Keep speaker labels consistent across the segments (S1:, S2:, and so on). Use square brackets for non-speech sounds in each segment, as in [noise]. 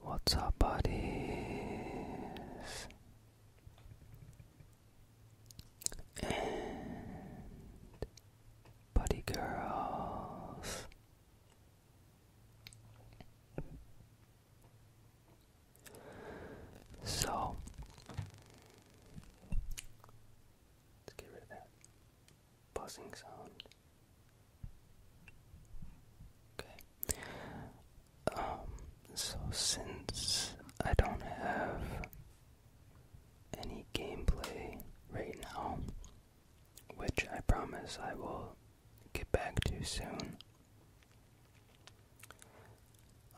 S1: What's up, buddies? And buddy girls. So let's get rid of that buzzing sound. Okay. Um, so since I don't have any gameplay right now, which I promise I will get back to soon.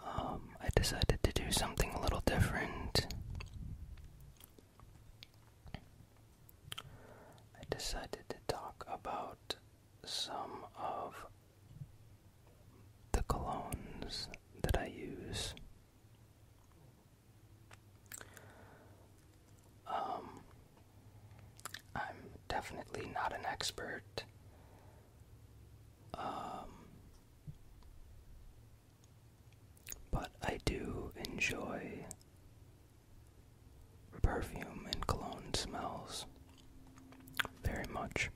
S1: Um, I decided to do something a little different. I decided to talk about some of the colognes that I use. Um, I'm definitely not an expert. Um, but I do enjoy perfume and cologne smells very much.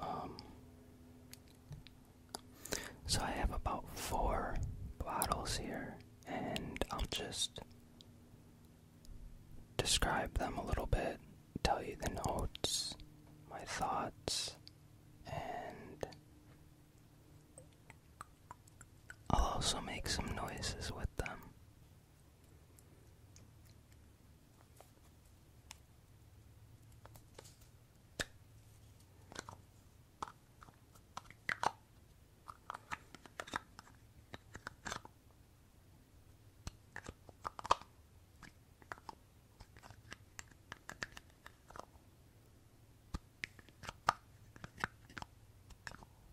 S1: Um, so I have about four bottles here, and I'll just describe them a little bit, tell you the notes, my thoughts, and I'll also make some noises with them.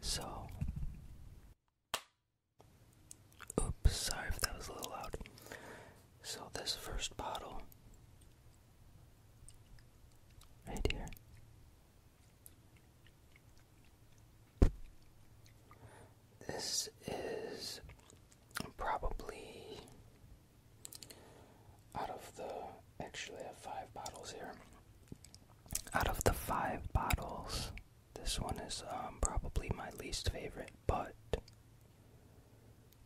S1: So, oops, sorry if that was a little loud. So, this first bottle, right here, this is probably out of the, actually, I have five bottles here. Out of the five bottles, this one is um, probably my least favorite, but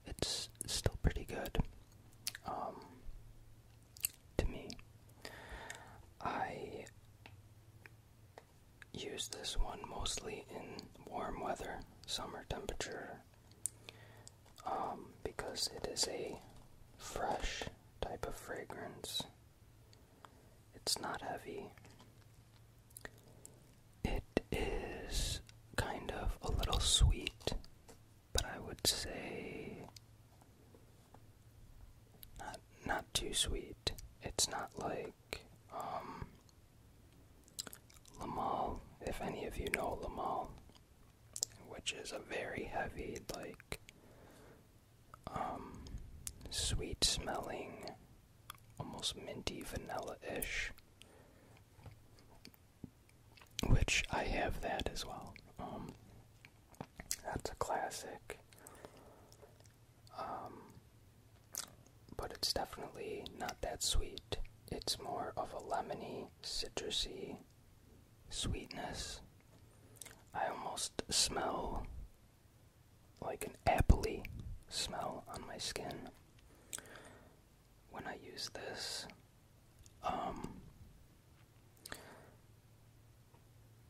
S1: it's still pretty good um, to me. I use this one mostly in warm weather, summer temperature um, because it is a fresh type of fragrance. It's not heavy. It is kind of a little sweet, but I would say not too sweet. It's not like um Lamal, if any of you know Lamal which is a very heavy, like, um, sweet smelling, almost minty vanilla ish. Which I have that as well. Um, that's a classic. Um, but it's definitely not that sweet. It's more of a lemony, citrusy sweetness. I almost smell like an appley smell on my skin when I use this. Um,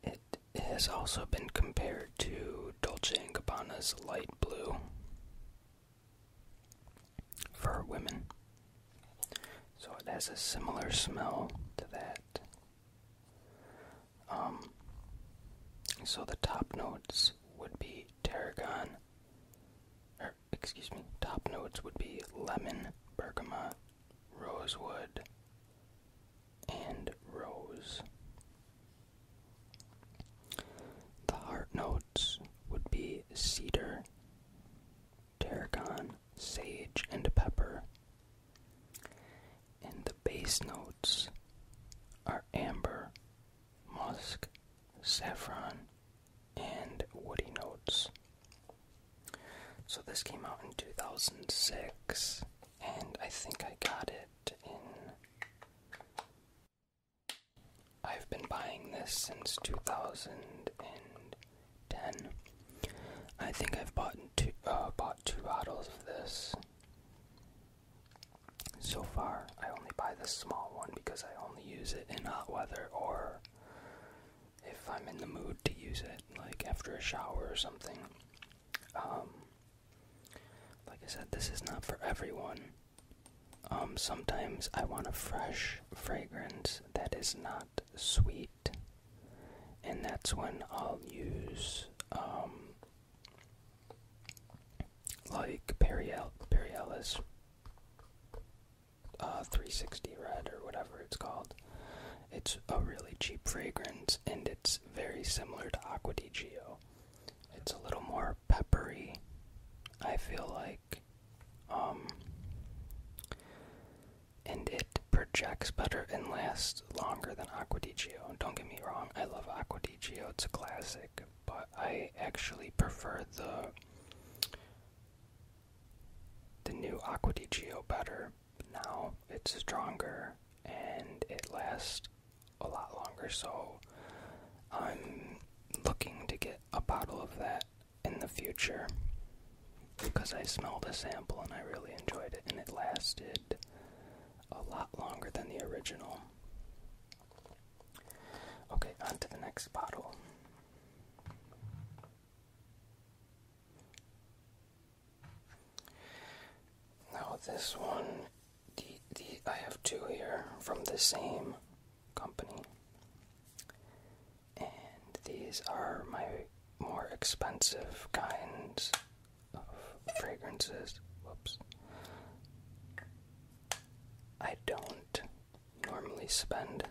S1: it has also been compared to Dolce & Gabbana's light blue for women. So it has a similar smell to that. Um, so the top notes would be tarragon, or excuse me, top notes would be lemon, bergamot, rosewood, and rose. The heart notes would be cedar, tarragon, sage, and pepper. And the base notes are amber, musk, saffron, and woody notes. So this came out in 2006, and I think I got it in I've been buying this since 2010. I think I've bought two, uh, bought two bottles of this. So far, I only buy this small one because I only use it in hot weather or if I'm in the mood to use it, like after a shower or something. Um, like I said, this is not for everyone. Um, sometimes I want a fresh fragrance that is not sweet. And that's when I'll use um, like Periel Perielis uh, 360 Red or whatever it's called. It's a really cheap fragrance and it's very similar to Aquadigio. It's a little more peppery. I feel like um, and it projects better and lasts longer than Aqua Don't get me wrong, I love Aqua it's a classic, but I actually prefer the the new Aqua better. Now it's stronger and it lasts a lot longer, so I'm looking to get a bottle of that in the future because I smelled a sample and I really enjoyed it, and it lasted a lot longer than the original. Okay, on to the next bottle. Now this one, the the I have two here from the same company and these are my more expensive kinds of fragrances. Whoops. I don't normally spend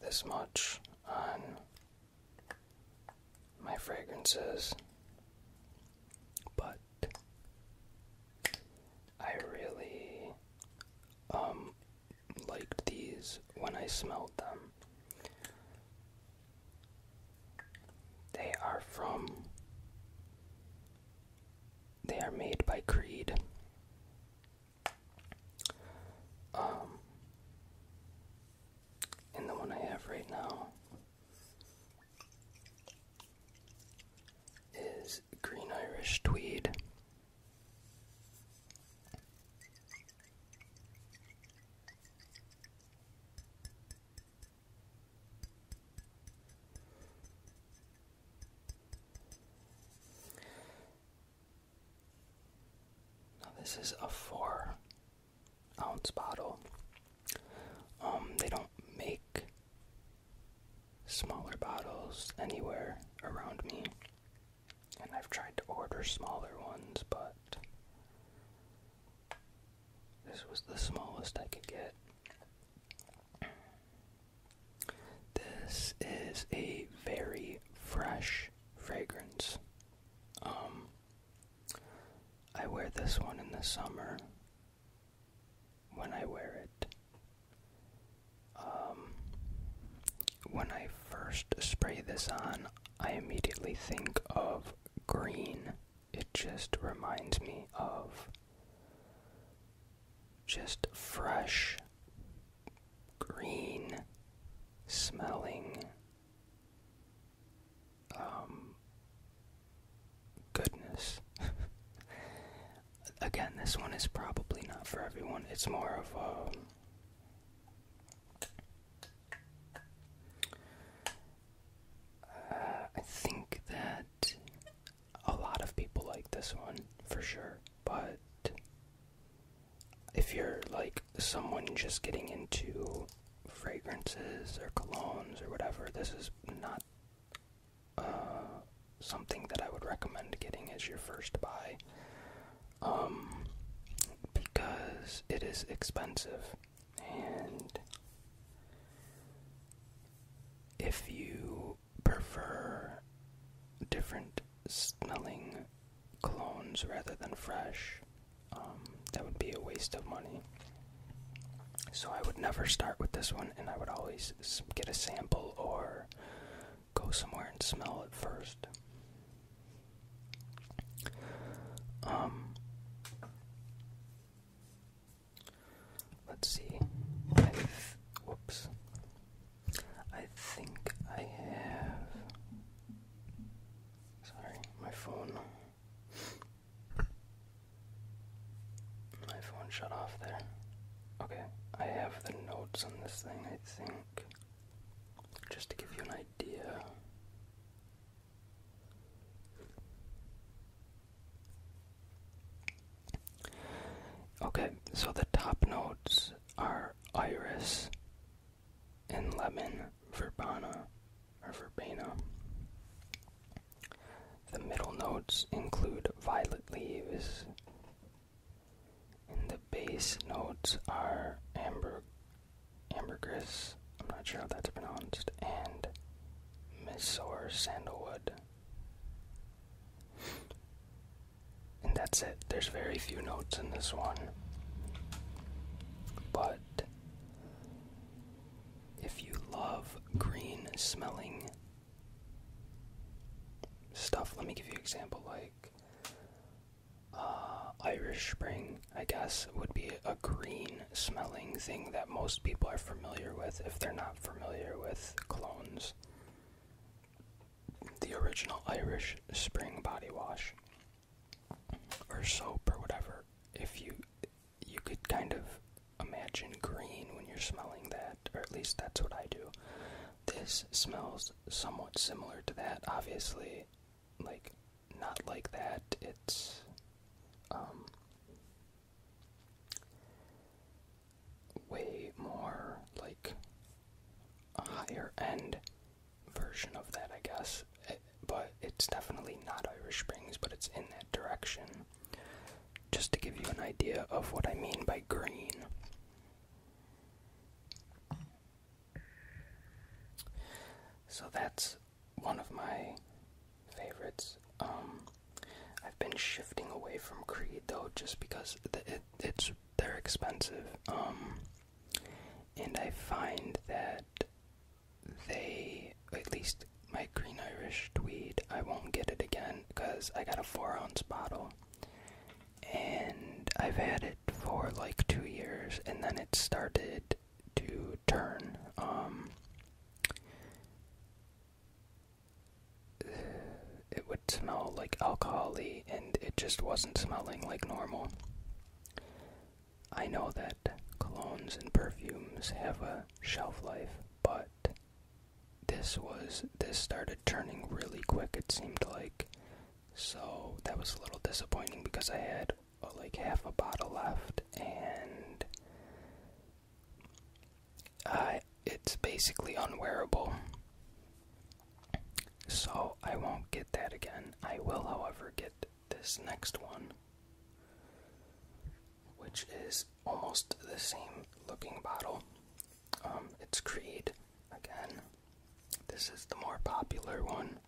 S1: this much on my fragrances, but I really um, liked these when I smelled them. They are from. They are made by Creed. Um, and the one I have right now is Green Irish Tweed. Now this is a four ounce bottle. Um, they don't make smaller bottles anywhere around me. And I've tried to order smaller ones, but this was the smallest I could get. This is a very fresh fragrance. Um, I wear this one in the summer when I wear it um, when I first spray this on, I immediately think of green. It just reminds me of just fresh, green smelling um, goodness. [laughs] Again, this one is probably not for everyone. It's more of a. Uh, uh, I think that a lot of people like this one for sure, but if you're like someone just getting into fragrances or colognes or whatever, this is not uh, something that I would recommend getting as your first buy um, because it is expensive and if you prefer different smelling clones rather than fresh, um, that would be a waste of money. So I would never start with this one, and I would always get a sample or go somewhere and smell it first. Um, let's see. whoops. I think I have. Sorry, my phone. My phone shut off there. Okay, I have the notes on this thing, I think. Just to give you an idea. Okay, so the top notes are iris and lemon verbena or verbena. The middle notes include violet leaves, and the base notes are amber, ambergris. I'm not sure how that's pronounced, and or sandalwood. And that's it. There's very few notes in this one. But if you love green smelling stuff, let me give you an example like uh, Irish Spring, I guess, would be a green smelling thing that most people are familiar with if they're not familiar with clones. The original Irish Spring body wash or soap or whatever. If you you could kind of imagine green when you're smelling that, or at least that's what I do. This smells somewhat similar to that. Obviously, like, not like that. It's, um, way more like a higher end version of that, I guess. Eh, but it's definitely not Irish Springs, but it's in that direction. Just to give you an idea of what I mean by green. So that's one of my favorites. Um, I've been shifting away from Creed though, just because it's they're expensive, um, and I find that they at least my Green Irish Tweed. I won't get it again because I got a four ounce bottle, and I've had it for like two years, and then it started to turn. Um, [sighs] it would smell like alcohol and it just wasn't smelling like normal. I know that colognes and perfumes have a shelf life, but this was this started turning really quick. It seemed like so that was a little disappointing because I had uh, like half a bottle left, and it's basically unwearable. So I won't get that again. I will, however, get this next one, which is almost the same looking bottle. Um, it's Creed again. This is the more popular one.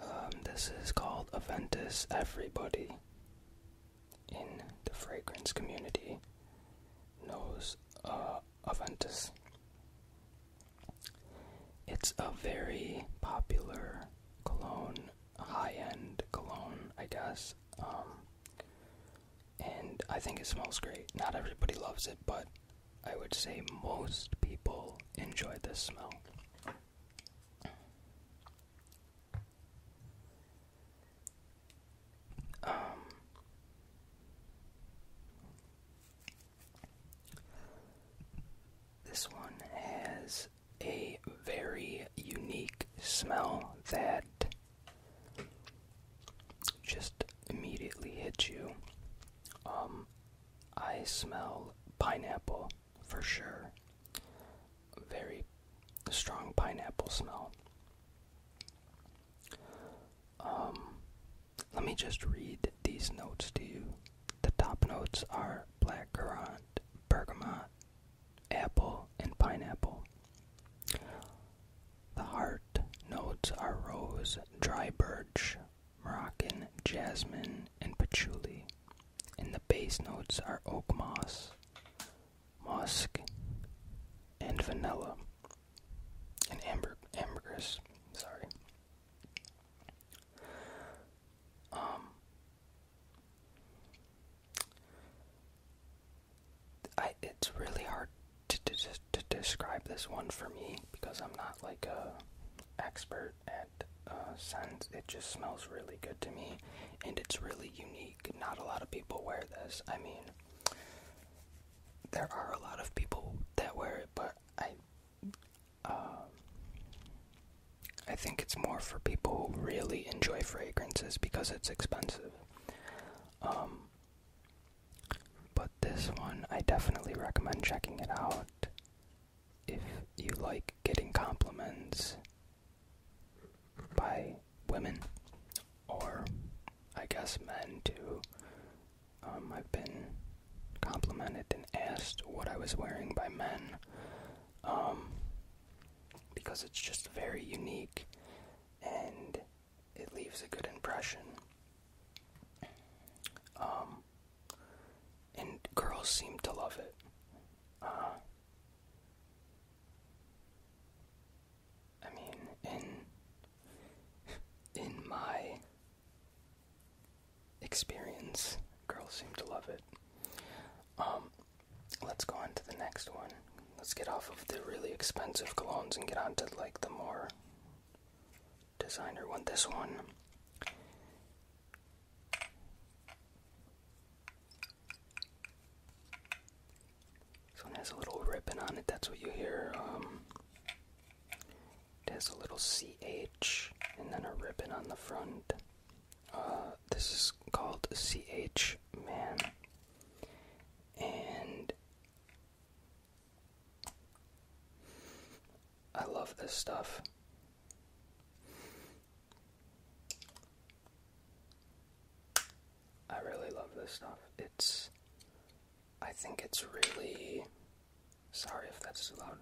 S1: Um, this is called Aventus Everybody in the fragrance community knows uh, Aventus. It's a very popular cologne, high end cologne, I guess. Um, and I think it smells great. Not everybody loves it, but I would say most people enjoy this smell. Um, this one has a very unique smell that just immediately hit you. Um, I smell pineapple for sure. Very strong pineapple smell. Um, let me just read these notes to you. The top notes are black currant, bergamot, apple, and pineapple. The heart notes are rose, dry birch, Moroccan jasmine, and patchouli, and the base notes are oak moss, musk, and vanilla, and ambergris. Sorry. Um, it's really hard to, to to describe this one for me because I'm not like a expert at uh, scents. It just smells really good to me, and it's really unique. Not a lot of people wear this. I mean, there are a lot of people that wear it, but I. Uh, I think it's more for people who really enjoy fragrances because it's expensive. Um, but this one, I definitely recommend checking it out if you like getting compliments by women or I guess men too. Um, I've been complimented and asked what I was wearing by men um, because it's just very unique and it leaves a good impression. Um, and girls seem to love it. Uh, I mean, in in my experience, girls seem to love it. Um, let's go on to the next one. Let's get off of the really expensive colognes and get on to like the more designer want this one. This one has a little ribbon on it, that's what you hear. Um, it has a little CH and then a ribbon on the front. Uh, this is called CH Man. And I love this stuff. I really love this stuff. It's. I think it's really. Sorry if that's too loud.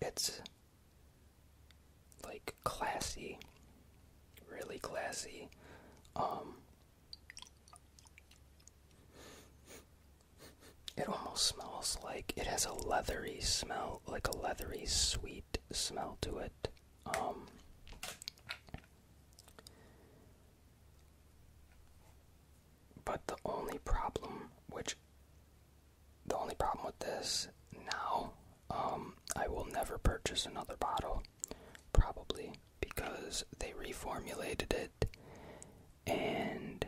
S1: It's. like classy. Really classy. Um, it almost smells like it has a leathery smell, like a leathery sweet smell to it. Um But the only problem which the only problem with this now, um, I will never purchase another bottle, probably because they reformulated it and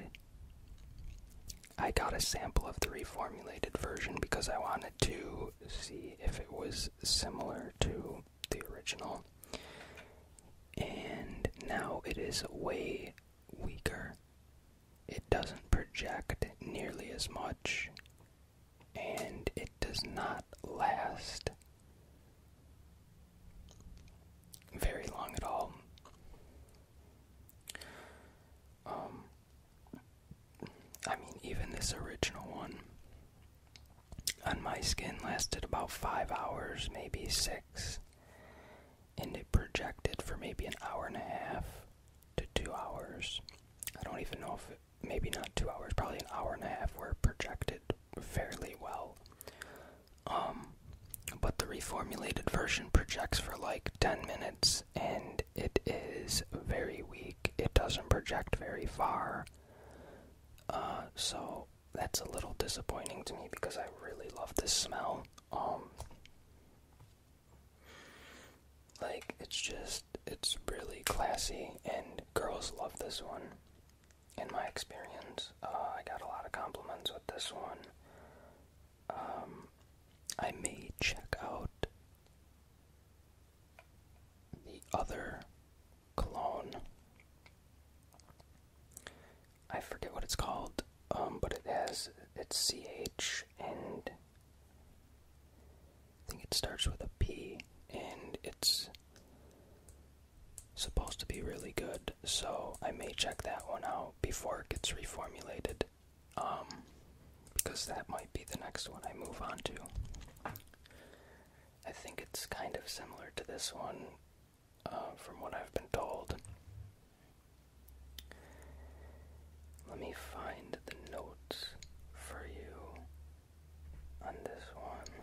S1: I got a sample of the reformulated version because I wanted to see if it was similar to the original. And now it is way weaker. It doesn't project nearly as much, and it does not last very long at all. Um, I mean, even this original one on my skin lasted about five hours, maybe six, and it projected for maybe an hour and a half to two hours. I don't even know if maybe not two hours, probably an hour and a half were projected fairly well. Um, but the reformulated version projects for like 10 minutes and it is very weak. It doesn't project very far. Uh, so that's a little disappointing to me because I really love this smell. Um, like it's just it's really classy and girls love this one in my experience. Uh, I got a lot of compliments with this one. Um, I may check out the other cologne. I forget what it's called, um, but it has it's CH and I think it starts with a P and it's supposed to be really good, so I may check that one out before it gets reformulated. Um, because that might be the next one I move on to. I think it's kind of similar to this one, uh, from what I've been told. Let me find the notes for you on this one.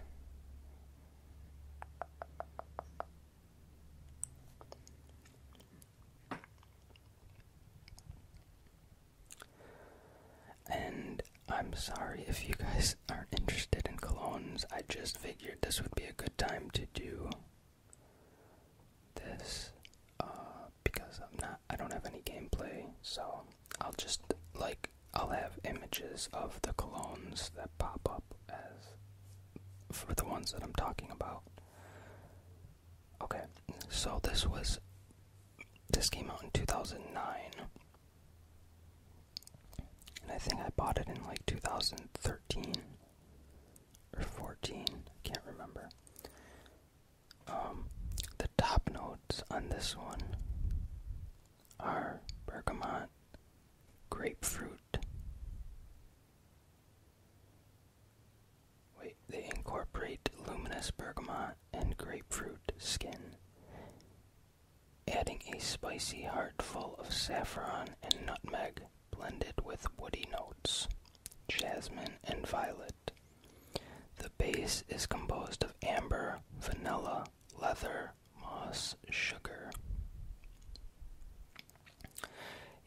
S1: And I'm sorry if you guys aren't interested in colognes. I just figured this would be a good time to do this uh, because I'm not. I don't have any gameplay, so I'll just like I'll have images of the colognes that pop up as for the ones that I'm talking about. Okay, so this was this came out in 2009. And I think I bought it in like 2013 or 14, I can't remember. Um, the top notes on this one are bergamot, grapefruit. Wait, they incorporate luminous bergamot and grapefruit skin, adding a spicy heart full of saffron and nutmeg blended with woody notes, jasmine, and violet. The base is composed of amber, vanilla, leather, moss, sugar.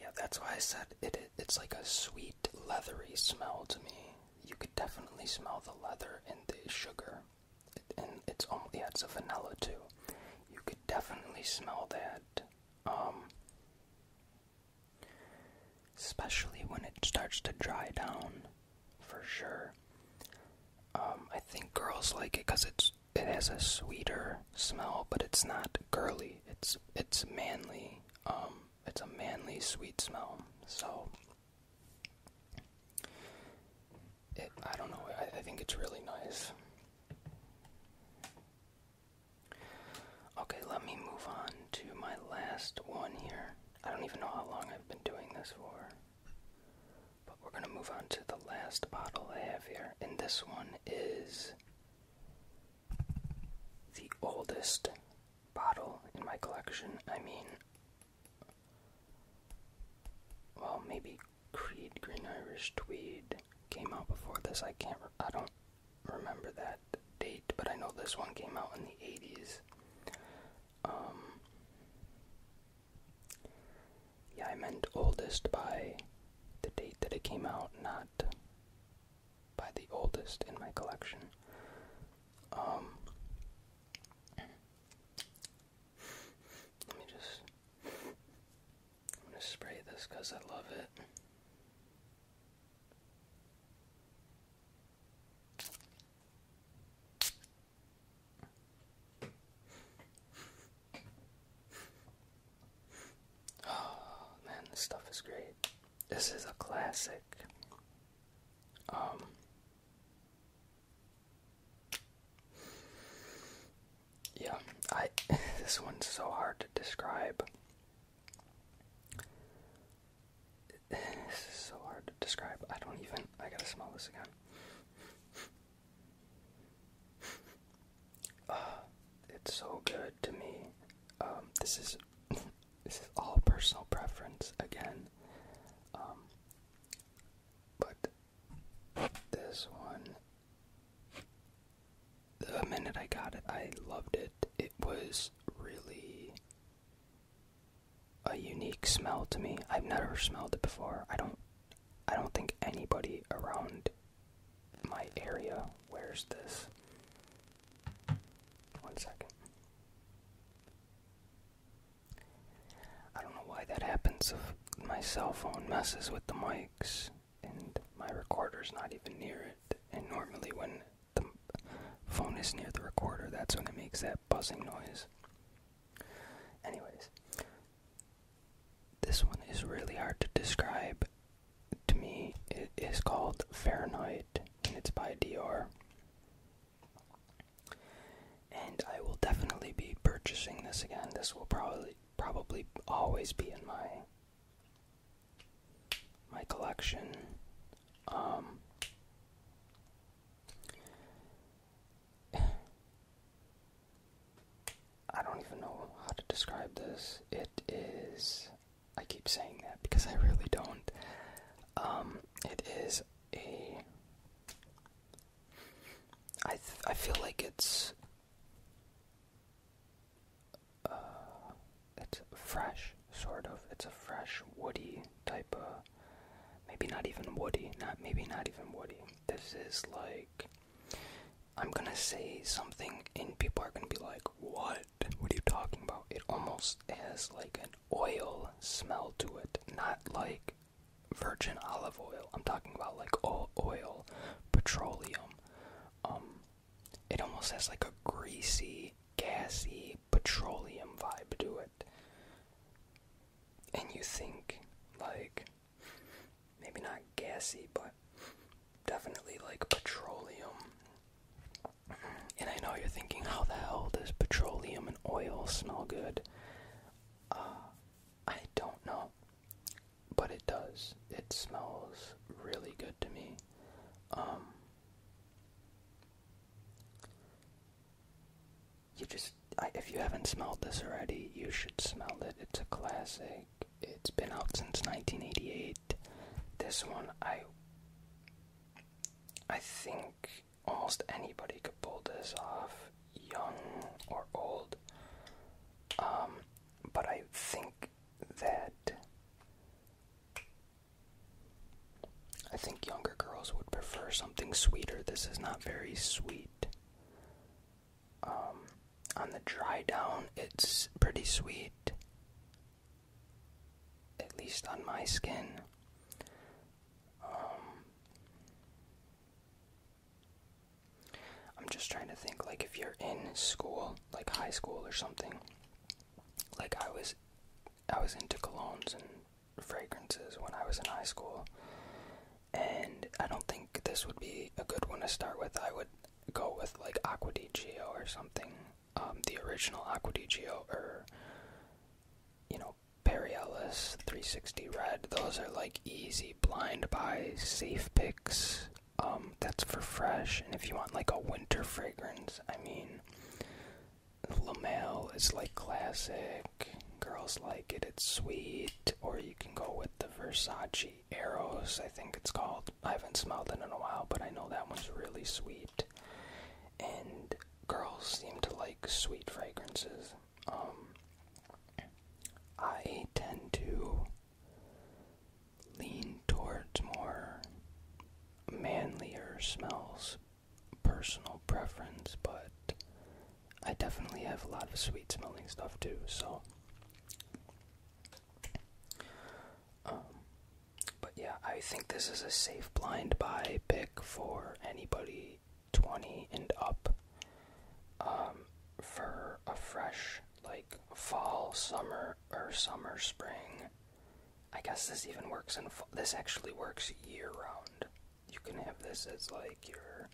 S1: Yeah, that's why I said it, It's like a sweet, leathery smell to me. You could definitely smell the leather and the sugar, and it's only adds a vanilla too. You could definitely smell that, um, especially when it starts to dry down, for sure. Um, I think girls like it because it's it has a sweeter smell, but it's not girly. It's it's manly. Um, it's a manly sweet smell. So it, I don't know. I, I think it's really nice. Okay, let me move on to my last one here. I don't even know how long I've been doing this for. But we're going to move on to the last bottle I have here. And this one is the oldest bottle in my collection. I mean, well, maybe Creed Green Irish Tweed came out before this. I can't, I don't remember that date, but I know this one came out in the 80s. Yeah, I meant oldest by the date that it came out, not by the oldest in my collection. Um, let me just. I'm gonna spray this because I love it. [sighs] Oh man, this stuff is great. This is a classic. Um Yeah, I [laughs] this one's so hard to describe. [sighs] This is so hard to describe. I don't even I gotta smell this again. Uh, [sighs] it's so good to me. Um, this is [laughs] this is all personal preference again. Um, but this one, the minute I got it, I loved it. It was really a unique smell to me. I've never smelled it before. I don't I don't think anybody around my area wears this. One second. I don't know why that happens if my cell phone messes with the mics and my recorder's not even near it. And normally, when the phone is near the recorder, that's when it makes that buzzing noise. Anyways, this one is really hard to describe. To me, it is called Fahrenheit and it's by Dior. And I will definitely be purchasing this again. This will probably probably always be in my my collection. Um [sighs] I don't even know how to describe this. It is. I keep saying that because I really don't. Um, it is a. I feel like it's. Uh, it's fresh, sort of. It's a fresh woody type of. Maybe not even woody. Not maybe not even woody. This is like I'm gonna say something, and people are gonna be like, What? What are you talking about? It almost has like an oil smell to it, not like virgin olive oil. I'm talking about like oil, petroleum. Um, it almost has like a greasy, gassy petroleum vibe to it. And you think, like, maybe not gassy, but definitely like petroleum. And I know you're thinking, how the hell does petroleum and oil smell good? Uh, I don't know, but it does. It smells really good to me. Um, you just if you haven't smelled this already, you should smell it. It's a classic. It's been out since 1988. This one I I think almost anybody could pull this off, young or old. Um, but I think that I think younger girls would prefer something sweeter. This is not very sweet. Um, on the dry down, it's pretty sweet, at least on my skin. Um, I'm just trying to think, like, if you're in school, like high school or something, like I was, I was into colognes and fragrances when I was in high school, and I don't think this would be a good one to start with. I would go with like Aquadigio or something, um, the original Aquadigio, or you know Perry 360 Red. Those are like easy blind buys, safe picks. Um, that's for fresh, and if you want like a winter fragrance, I mean, Lamel is like classic. Girls like it. It's sweet or you can go with the Versace Arrows, I think it's called. I haven't smelled it in a while, but I know that one's really sweet. And girls seem to like sweet fragrances. Um, I tend to lean towards more manlier smells, personal preference, but I definitely have a lot of sweet smelling stuff too, so. Um, but yeah, I think this is a safe blind buy pick for anybody 20 and up um, for a fresh, like, fall, summer, or summer, spring. I guess this even works in This actually works year round. You can have this as, like, your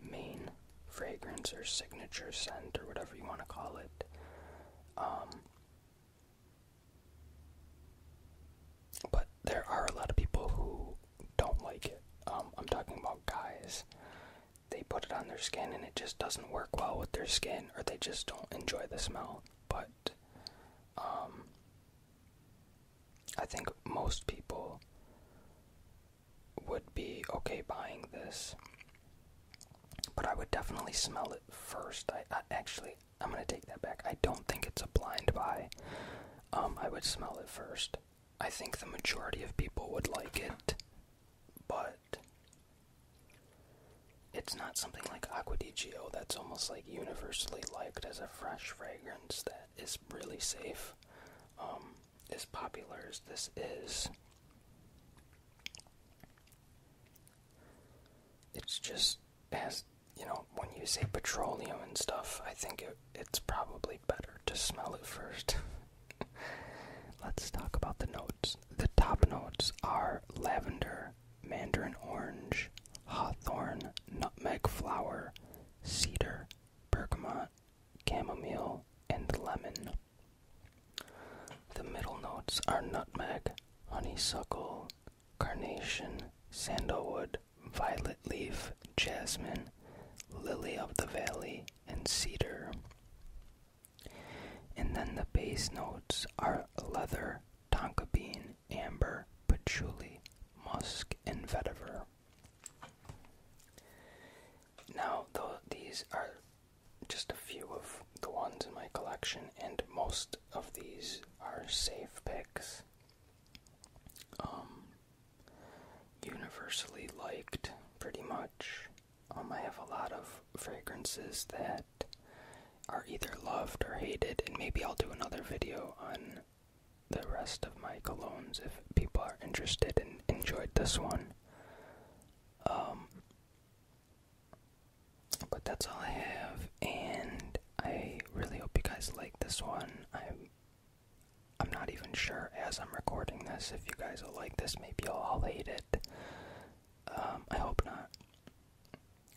S1: main fragrance or signature scent or whatever you want to call it. Um, but there are a lot of people who don't like it. Um, I'm talking about guys. They put it on their skin and it just doesn't work well with their skin, or they just don't enjoy the smell. But um, I think most people would be okay buying this, but I would definitely smell it first. I, actually I'm gonna take that back. I don't think it's a blind buy. Um, I would smell it first. I think the majority of people would like it, but it's not something like Aqua that's almost like universally liked as a fresh fragrance that is really safe. Um, as popular as this is, it's just as you know, when you say petroleum and stuff, I think it's probably better to smell it first. [laughs] Let's talk about the notes. The top notes are lavender, mandarin orange, hawthorn, nutmeg flower, cedar, bergamot, Camomile and lemon. The middle notes are nutmeg, honeysuckle, carnation, sandalwood, violet leaf, jasmine, lily of the valley, and cedar. And then the base notes are leather, tonka bean, amber, patchouli, musk, and vetiver. Now, though, these are just a few of the ones in my collection, and most of these are safe picks. Um, universally liked, pretty much. Um, I have a lot of fragrances that are either loved or hated, and maybe I'll do another video on the rest of my colognes if people are interested and enjoyed this one. Um, but that's all I have, and I really hope you guys like this one. I'm, I'm not even sure as I'm recording this if you guys will like this. Maybe you'll all hate it. Um, I hope not.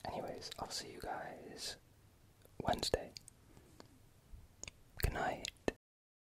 S1: Anyways, I'll see you guys Wednesday. Good night.